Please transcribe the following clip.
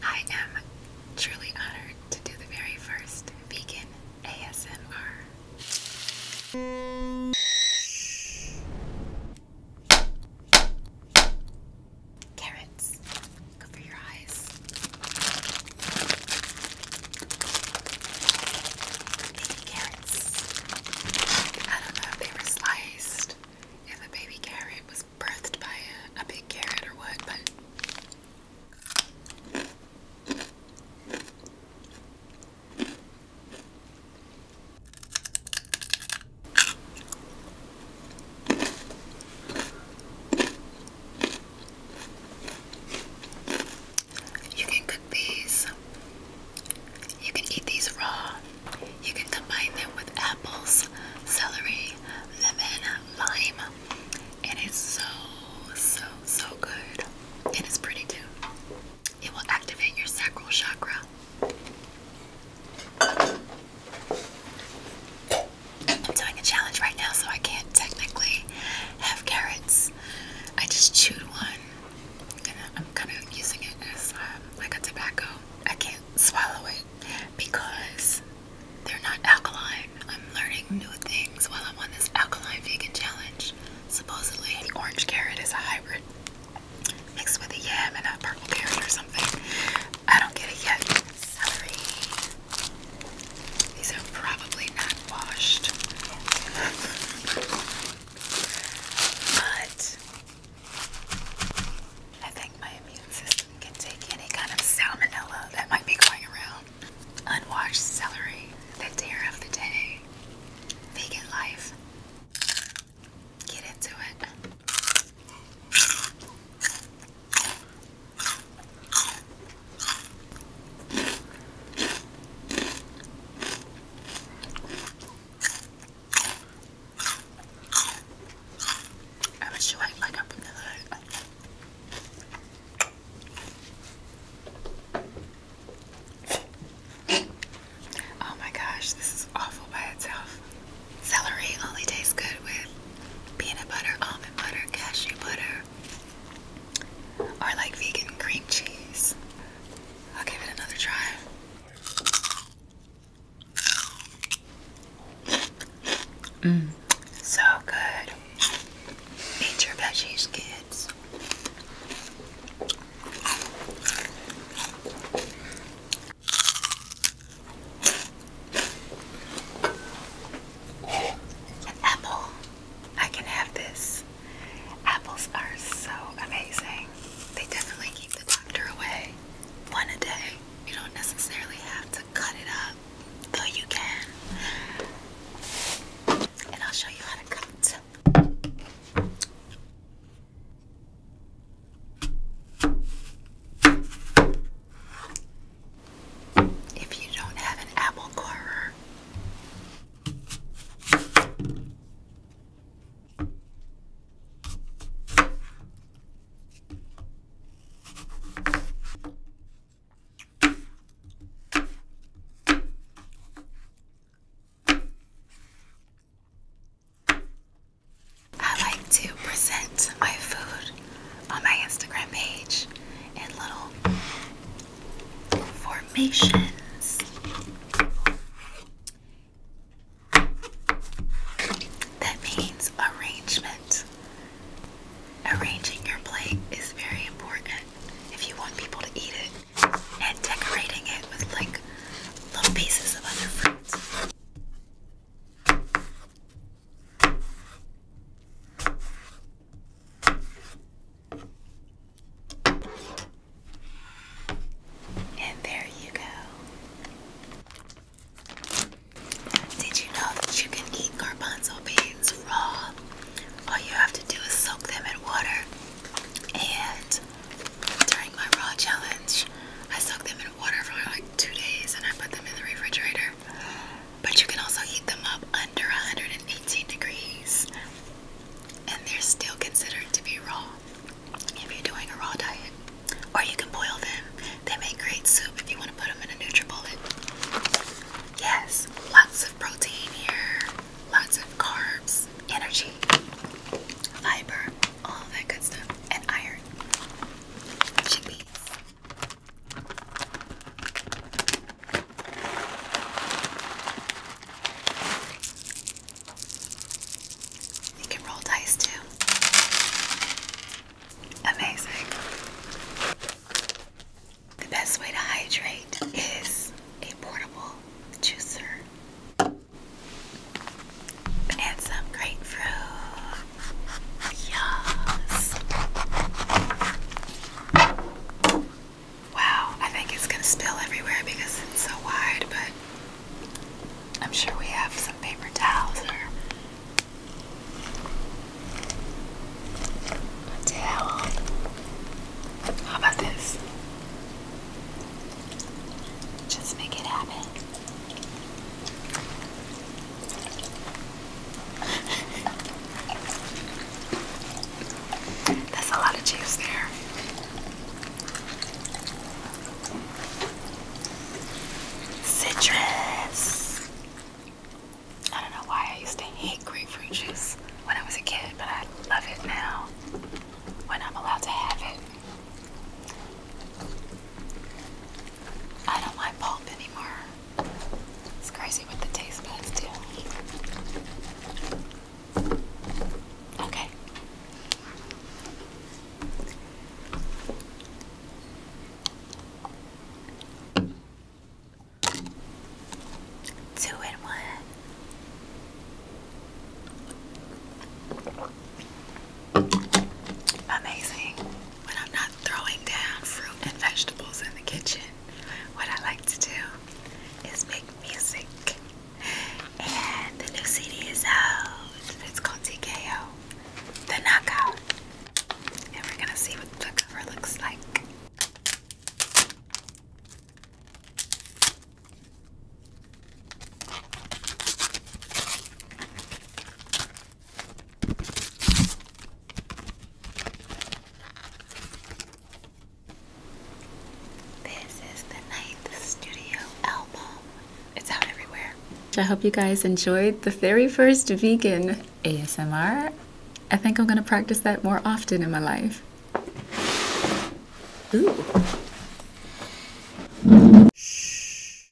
I am truly honored to do the very first vegan ASMR. Carrots. Go for your eyes. Baby carrots. I don't know if they were sliced. If a baby carrot was was by a big carrot or what, but. You can cook these. You can eat these raw. You can combine them with apples, celery, lemon, lime, and it's so, so, so good. it's pretty too. It will activate your sacral chakra. I'm doing a challenge right now, so I can't technically have carrots. I just chewed one, and I'm kind of using it as um, like a tobacco. I can't swallow it because they're not alkaline. I'm learning new things while I'm on this alkaline vegan challenge. Supposedly, the orange carrot is a hybrid mixed with a yam and a purple carrot or something. I don't get it yet. Celery. These are probably not washed. but I think my immune system can take any kind of salmonella that might be going around. Unwashed celery, the dare of the day. Vegan life. Get into it. I bet you like like i oh my gosh, this is awful by itself. Celery only tastes good with peanut butter, almond butter, cashew butter, or like vegan cream cheese. I'll give it another try. Mm, so good. Eat your veggies, kids. An apple. I can have this. Apples are so amazing. They definitely keep the doctor away. One a day. You don't necessarily have to cut it up, though you can. And I'll show you how to cut. If you don't have an apple corer. I like to present my food on my Instagram page in little formations. That means arrangement. Arranging your plate is very important if you want people to eat it, and decorating it with like little pieces of other fruits. And there you go. Did you know that you can eat garbanzo beans raw? All you have to do is soak them in water. And during my raw challenge, I soaked them in water for like two days and I put them in the refrigerator. But you can also heat them up under 118 degrees, and they're still considered to be raw if you're doing a raw diet. Or you can boil them. They make great soup if you want to put them in a NutriBullet. Yes, lots of protein here, lots of carbs, energy, fiber, all that good stuff, and iron. Chickpeas. You can roll dice too. Amazing. The best way to hydrate is a portable juicer. And grapefruit. Yes. Wow, I think it's gonna spill everywhere because it's so wide, but I'm sure we have some paper towels or towel. How about this? Just make it happen. That's a lot of juice there. Citrus. I don't know why I used to hate grapefruit juice when I was a kid, but I love it now when I'm allowed to have it. I don't like pulp anymore. It's crazy what the taste buds do. Okay. Two and one. Amazing. When I'm not throwing down fruit and vegetables in the kitchen, what I like to do is make music. And the new CD is out. It's called TKO, The Knockout. And we're gonna see what the cover looks like. This is the ninth studio album. It's out everywhere. I hope you guys enjoyed the very first vegan ASMR. I think I'm gonna practice that more often in my life. Ooh. Shh.